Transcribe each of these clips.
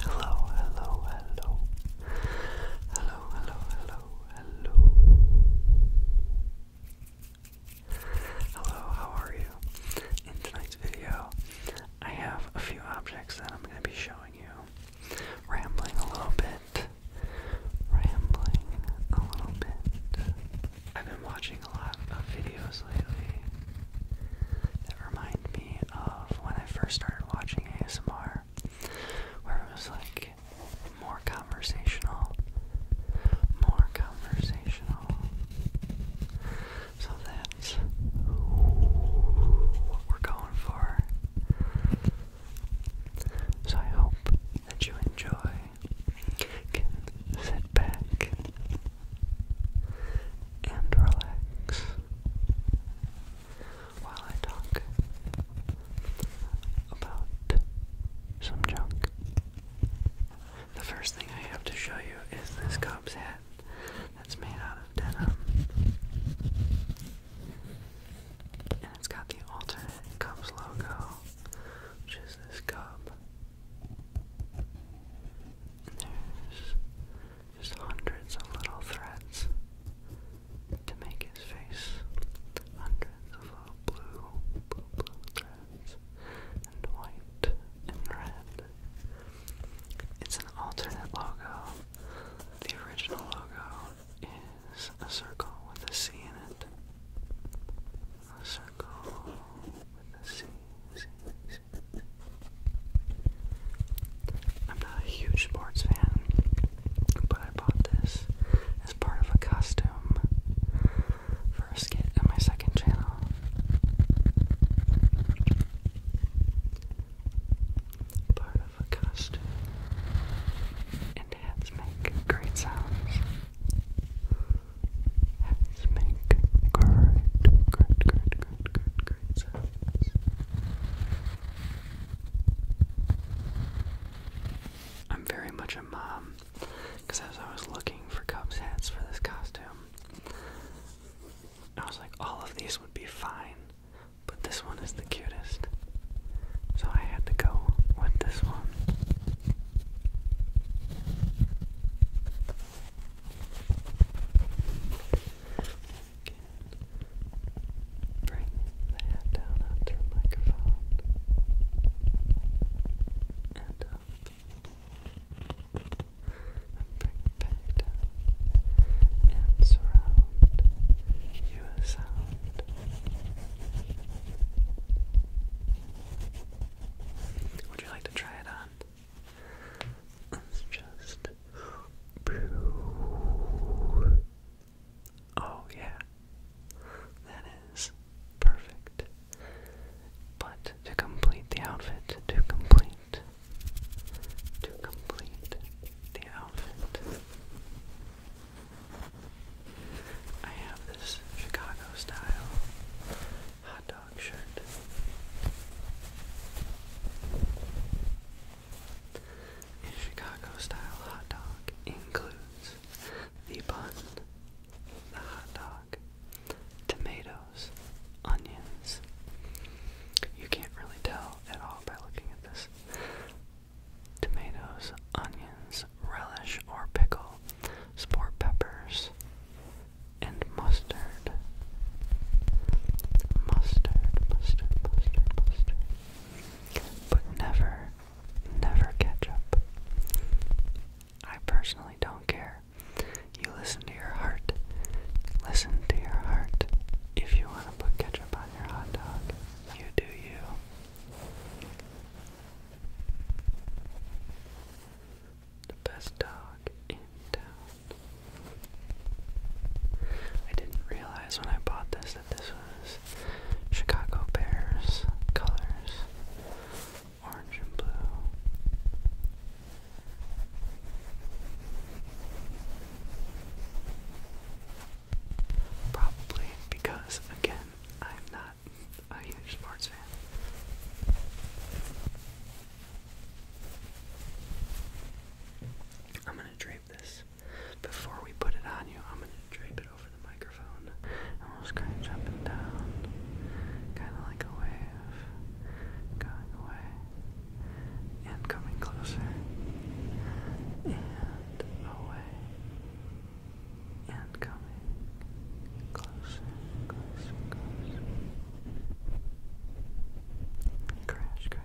Hello, hello, hello. Hello, hello, hello, hello. Hello, how are you? In tonight's video, I have a few objects that I'm going to be showing you. Rambling a little bit. Rambling a little bit. I've been watching a lot of videos lately that remind me of when I first started watching ASMR, where it was like more conversational, more conversational. So that's what we're going for. So I hope that you enjoy. Can sit back and relax while I talk about some junk. The first thing I have to show you is this Cubs hat that's made out of denim. And it's got the alternate Cubs logo, which is this cub. there's just hundreds of little threads to make his face. Hundreds of little blue, blue, blue threads, and white and red. It's an alternate logo. The original logo is a circle with a C in it. A circle with a C, C, C, I'm not a huge sports fan, but I bought this as part of a costume for a skit on my second channel. Part of a costume. And hats make great sounds. Hats make great, great, great, great, great, sounds. I'm very much a mom because as I was looking for Cubs hats for this costume, I was like, all of these would be fine, but this one is the cutest. So I had to go with this one can bring the head down onto the microphone and up and bring it back down and surround you sound. Would you like to try it on? let just Oh yeah. That is perfect. But to complete the outfit, to complete to complete the outfit. I have this Chicago style hot dog shirt. A Chicago-style hot dog includes the bun, the hot dog, tomatoes, onions. You can't really tell at all by looking at this. Tomatoes, onions, relish or pickle, sport peppers, and mustard mustard, mustard, mustard, mustard, but never, never ketchup. I personally don't care. You listen to your heart. Listen to your heart. If you want to put ketchup on your hot dog, you do you. The best dog in town. I didn't realize when I bought this that this was Chicago Bears colors orange and blue. Probably because, again, I'm not a huge sports fan. I'm gonna drink this. Before we put it on you, I'm gonna drape it over the microphone. And we'll scratch up and down. Kinda like a wave. Going away. And coming closer. And away. And coming closer, closer, closer. Crash, crash,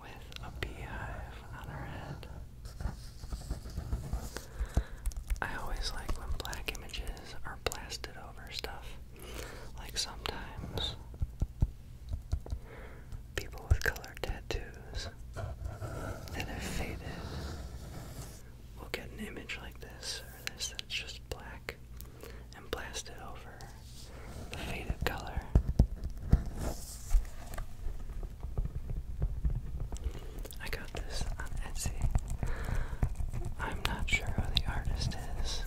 with a beehive on her head. I always like when black images are blasted over stuff. Like sometimes people with colored tattoos that have faded will get an image like this or this that's just black and blast it over the faded color. I got this Etsy. I'm not sure who the artist is,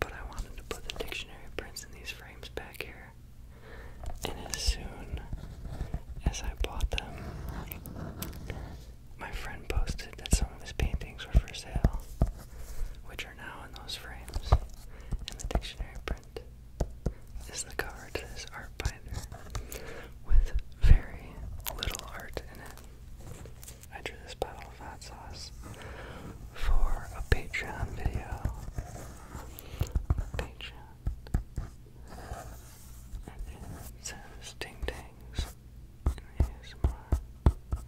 but I wanted to put the dictionary prints in these frames back here. And as soon as I bought them, my friend posted that some of his paintings were for sale, which picture now in those frames in the dictionary print is the cover to this art binder with very little art in it. I drew this bottle of hot sauce for a Patreon video. Patreon. And it says ding dings and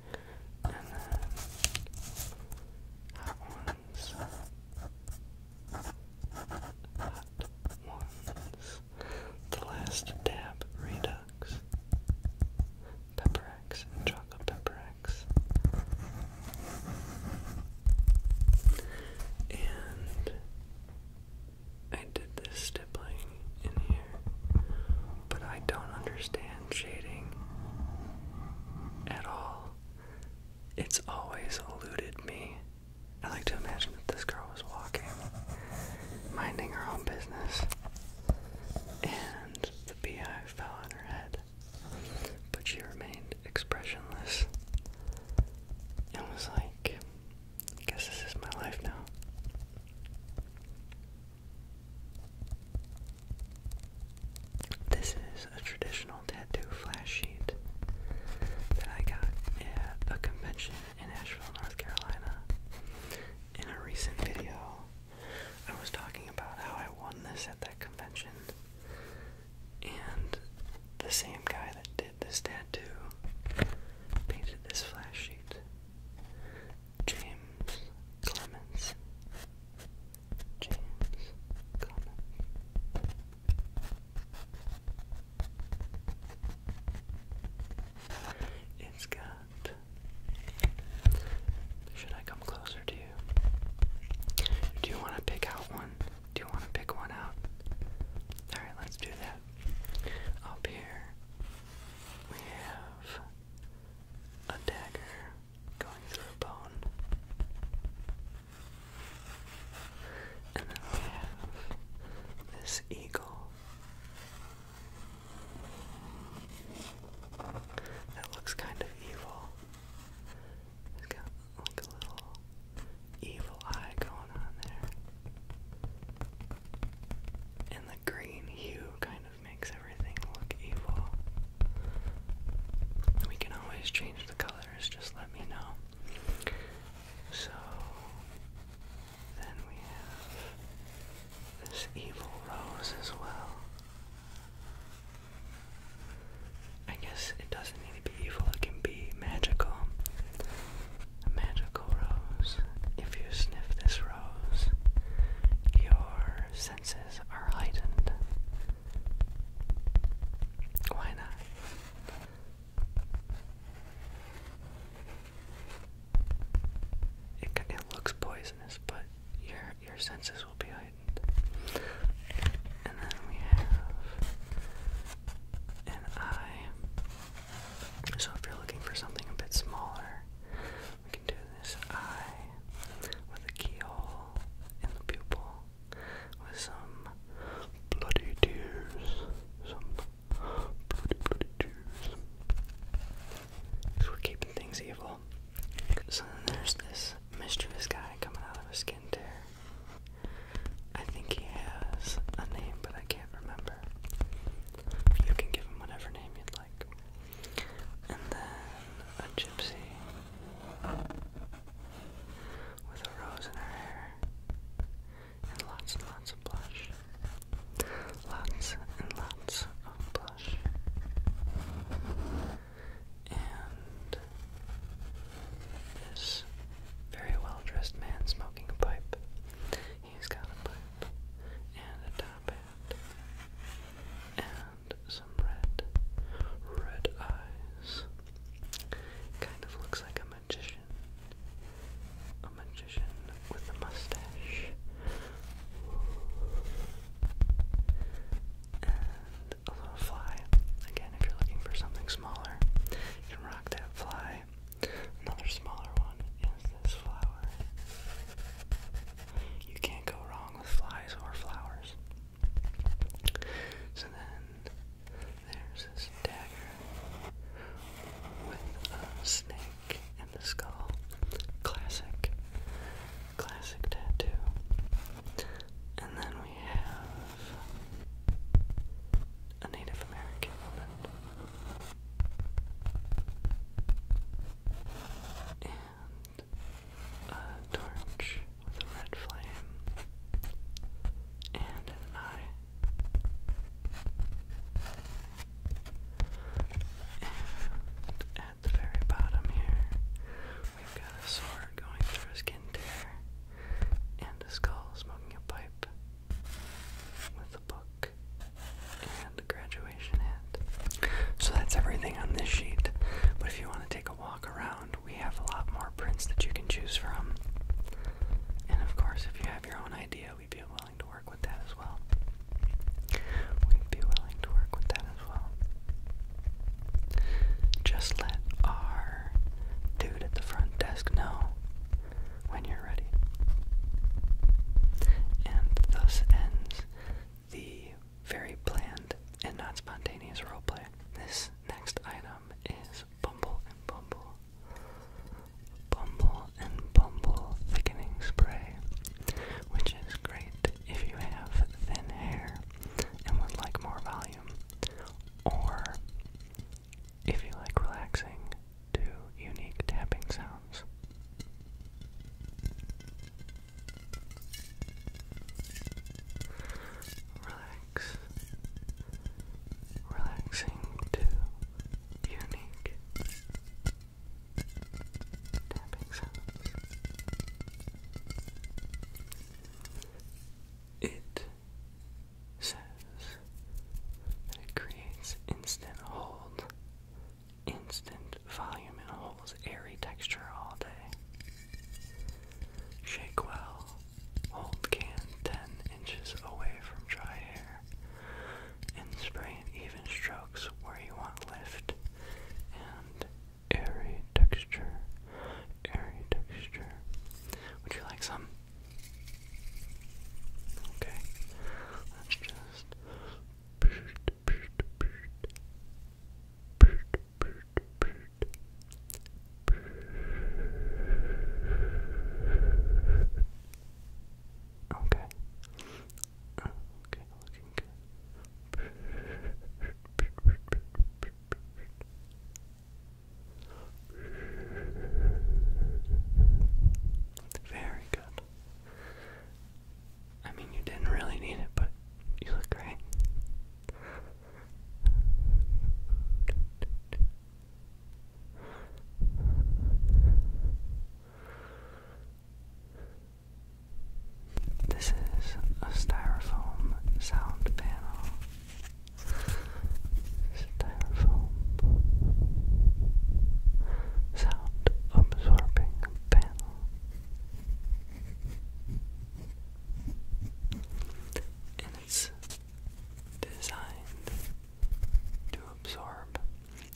then that one's that one's the last dab redux pepper chocolate pepper and I did this stippling in here, but I don't understand hand shading at all. It's always eluded me. I like to imagine that this girl was walking, minding her own business, and the beehive fell on her head. But she remained expressionless and was like, guess this is my life now. This is a traditional tattoo flash sheet that I got at a convention in Asheville, North Carolina. In a recent video, I was talking about how I won this at that convention, and the same guy that did this tattoo painted this flash sheet. James Clemens. James It's got. Should I come closer to you? Do you want to pick out one? Do you want to pick one out? Alright, let's do that. Up here, we have a dagger going through a bone. And then we have this eagle that looks kind of evil. It's got like a little evil eye going on there. And the green hue kind makes everything look evil. We can always change the colors, just let me know. So, then we have this evil rose as well. I guess it doesn't need to be evil, it can be magical. A magical rose. If you sniff this rose, your senses are heightened. Why not? It, it looks poisonous, but your your senses will be heightened. And then we have an eye. So if you're looking for something a bit smaller, we can do this eye with a keyhole in pupil with some bloody tears. Some bloody, bloody tears. we're keeping things evil. So there's this mischievous guy coming out of a skin tear. I think he has a name, but I can't remember. You can give him whatever name you'd like and then a gypsy with a rose in her hair, and lots and lots of blush, lots and lots of blush, and this very well dressed man smoking a pipe. He's got a pipe and a top hat some red, red eyes. Kind of looks like a magician. A magician with a mustache. And a little fly. Again, if you're looking for something smaller, you can rock that fly. Another smaller one is this flower. You can't go wrong with flies or flowers. So then there's this dagger with a snake and the skull. Classic. Classic tattoo. And then we have a Native American woman and a torch with a red flame and an eye. And at the very bottom here, we've got a sword going through a skin tear and a skull smoking a pipe with a book and a graduation hat. So that's everything on this sheet. But if you want to take take a walk around, we have a lot more prints that you can choose from. And of course, if you have your own idea, we'd be willing to work with that as well. We'd be willing to work with that as well. Just let our dude at the front desk know when you're ready. And thus ends the very planned and not spontaneous roleplay. This next item is Bumble and Bumble. Bumble and Bumble Thickening Spray, which is great if you have thin hair and would like more volume, or if you like relaxing to unique tapping sounds. Relax. Relaxing to unique tapping sounds. It says that it creates instant hold, instant volume, and holds airy texture all day. Shake well. Hold can 10 inches away from dry hair and spray in even strokes where you want lift and airy texture. Airy texture. Would you like some? Okay. Let's just. Okay. Okay, looking good. Very good. I mean, you didn't really need it, but you look great. This is a styrofoam sound panel. Styrofoam sound absorbing panel and it's designed to absorb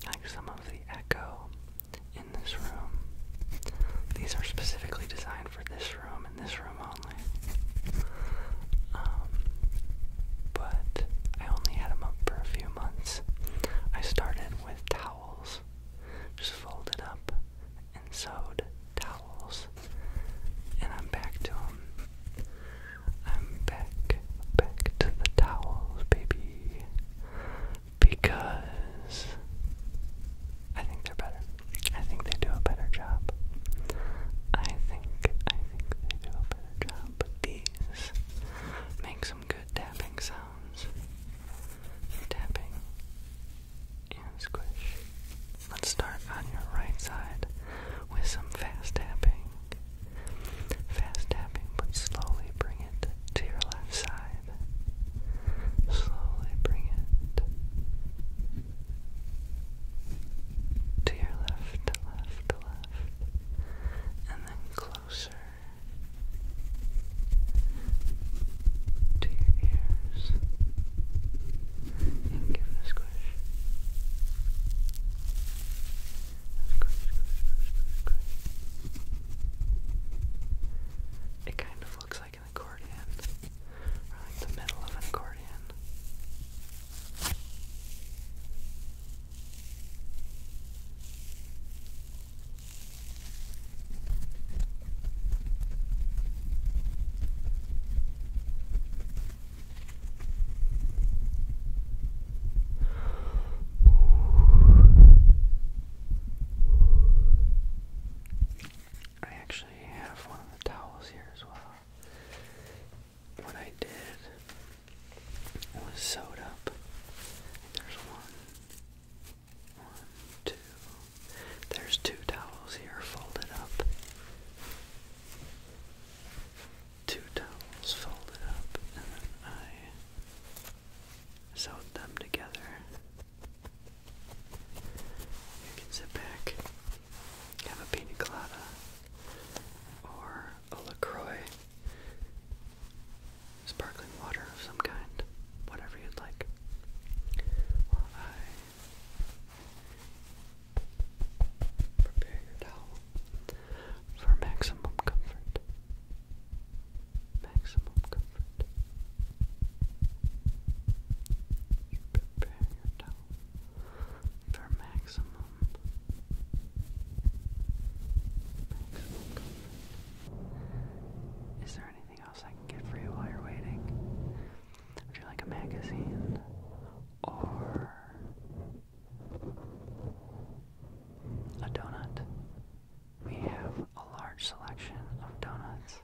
like some of the echo in this room. These are specifically designed for this room and this room only. Um, but I only had them up for a few months. I started with towels, just folded up and sewed towels. And I'm back to them. I'm back, back to the towels, baby. Because I think they're better. I think they do a better job. I think, I think they do a better job. these make some good tapping sounds. Tapping, and squish. Let's start on your right side with some fast tapping. Fast tapping, but slowly bring it to your left side. Slowly bring it to your left, left, left, and then closer to your ears and give it a squish, It kind of looks like an accordion, or like the middle of an accordion. I actually have one of the towels here as well. What I did was sewed up. There's one, one, two. There's two towels here folded up. Two towels folded up, and then I sewed them together. You can sit back, have a pina colada or a LaCroix, sparkling water of some kind, whatever you'd like. While I Prepare your towel for maximum comfort. Maximum comfort. prepare your towel for maximum comfort. Is there anything else I can get for you while you're waiting? Would you like a magazine or a donut? We have a large selection of donuts.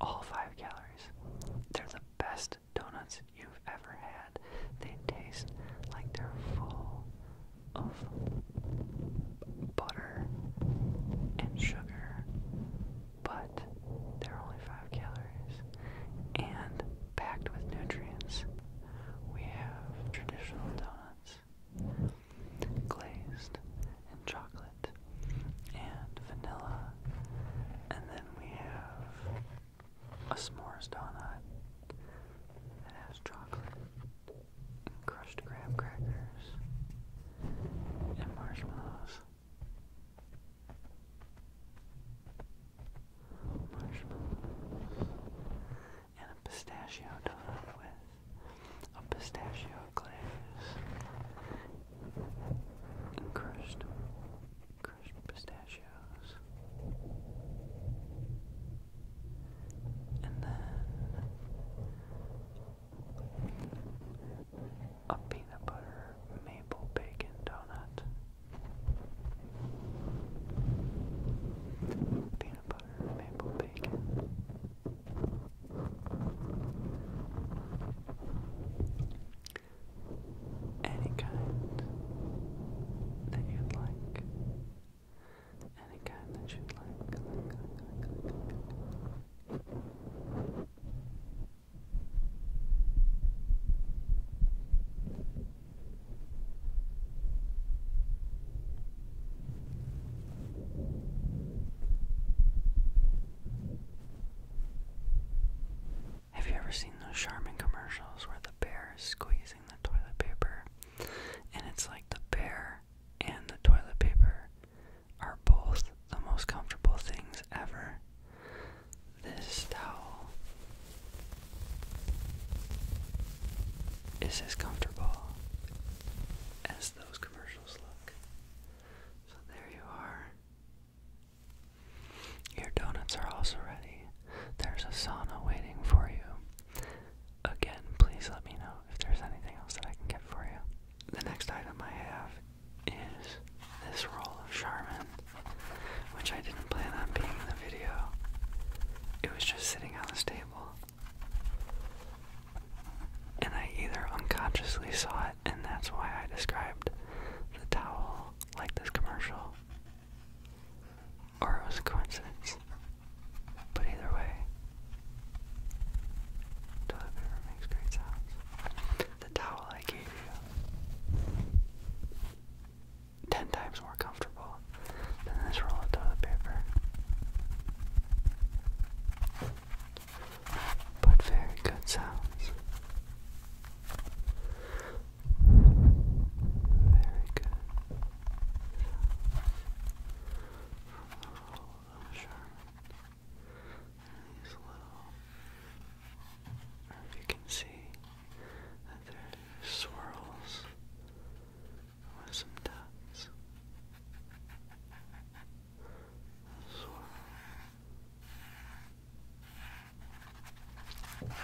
All five calories. They're the best donuts you've ever had. They taste like they're full of butter and sugar but they're only 5 calories and packed with nutrients. We have traditional donuts, glazed, in chocolate, and vanilla, and then we have a s'mores donut that has chocolate, crushed graham crackers, and marshmallows marshmallow, and a pistachio donut with a pistachio glaze, crushed, crushed pistachios, and then a peanut butter maple bacon donut. Peanut butter maple bacon. Any kind that you'd like. Any kind that you'd like. Have you ever seen those Charmin commercials where the bear is squeezing the toilet paper and it's like the bear and the toilet paper are both the most comfortable things ever. This towel is as comfortable as those commercials look. So there you are. Your donuts are also ready. There's a sauna waiting for you. Again, please let me know if there's anything else that I can get for you. The next item I have is this roll of Charmin, which I didn't plan on being in the video. It was just sitting on the table. And I either unconsciously saw it, and that's why I described the towel like this commercial, or it was a coincidence. But either way, toilet paper makes great sounds the towel I gave you. Ten times more comfortable than this roll of toilet paper. But very good sounds. Very good sounds. From these little, or if you can see that there are swirls with some dots. A swirl. Swirls.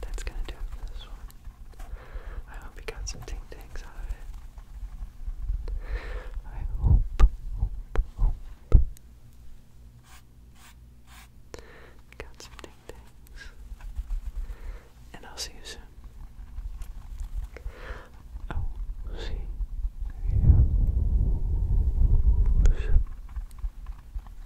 That's gonna do it for this one. I hope you got some ting tings out of it. I hope, hope, hope. got some ting tings. And I'll see you soon. I'll see you soon.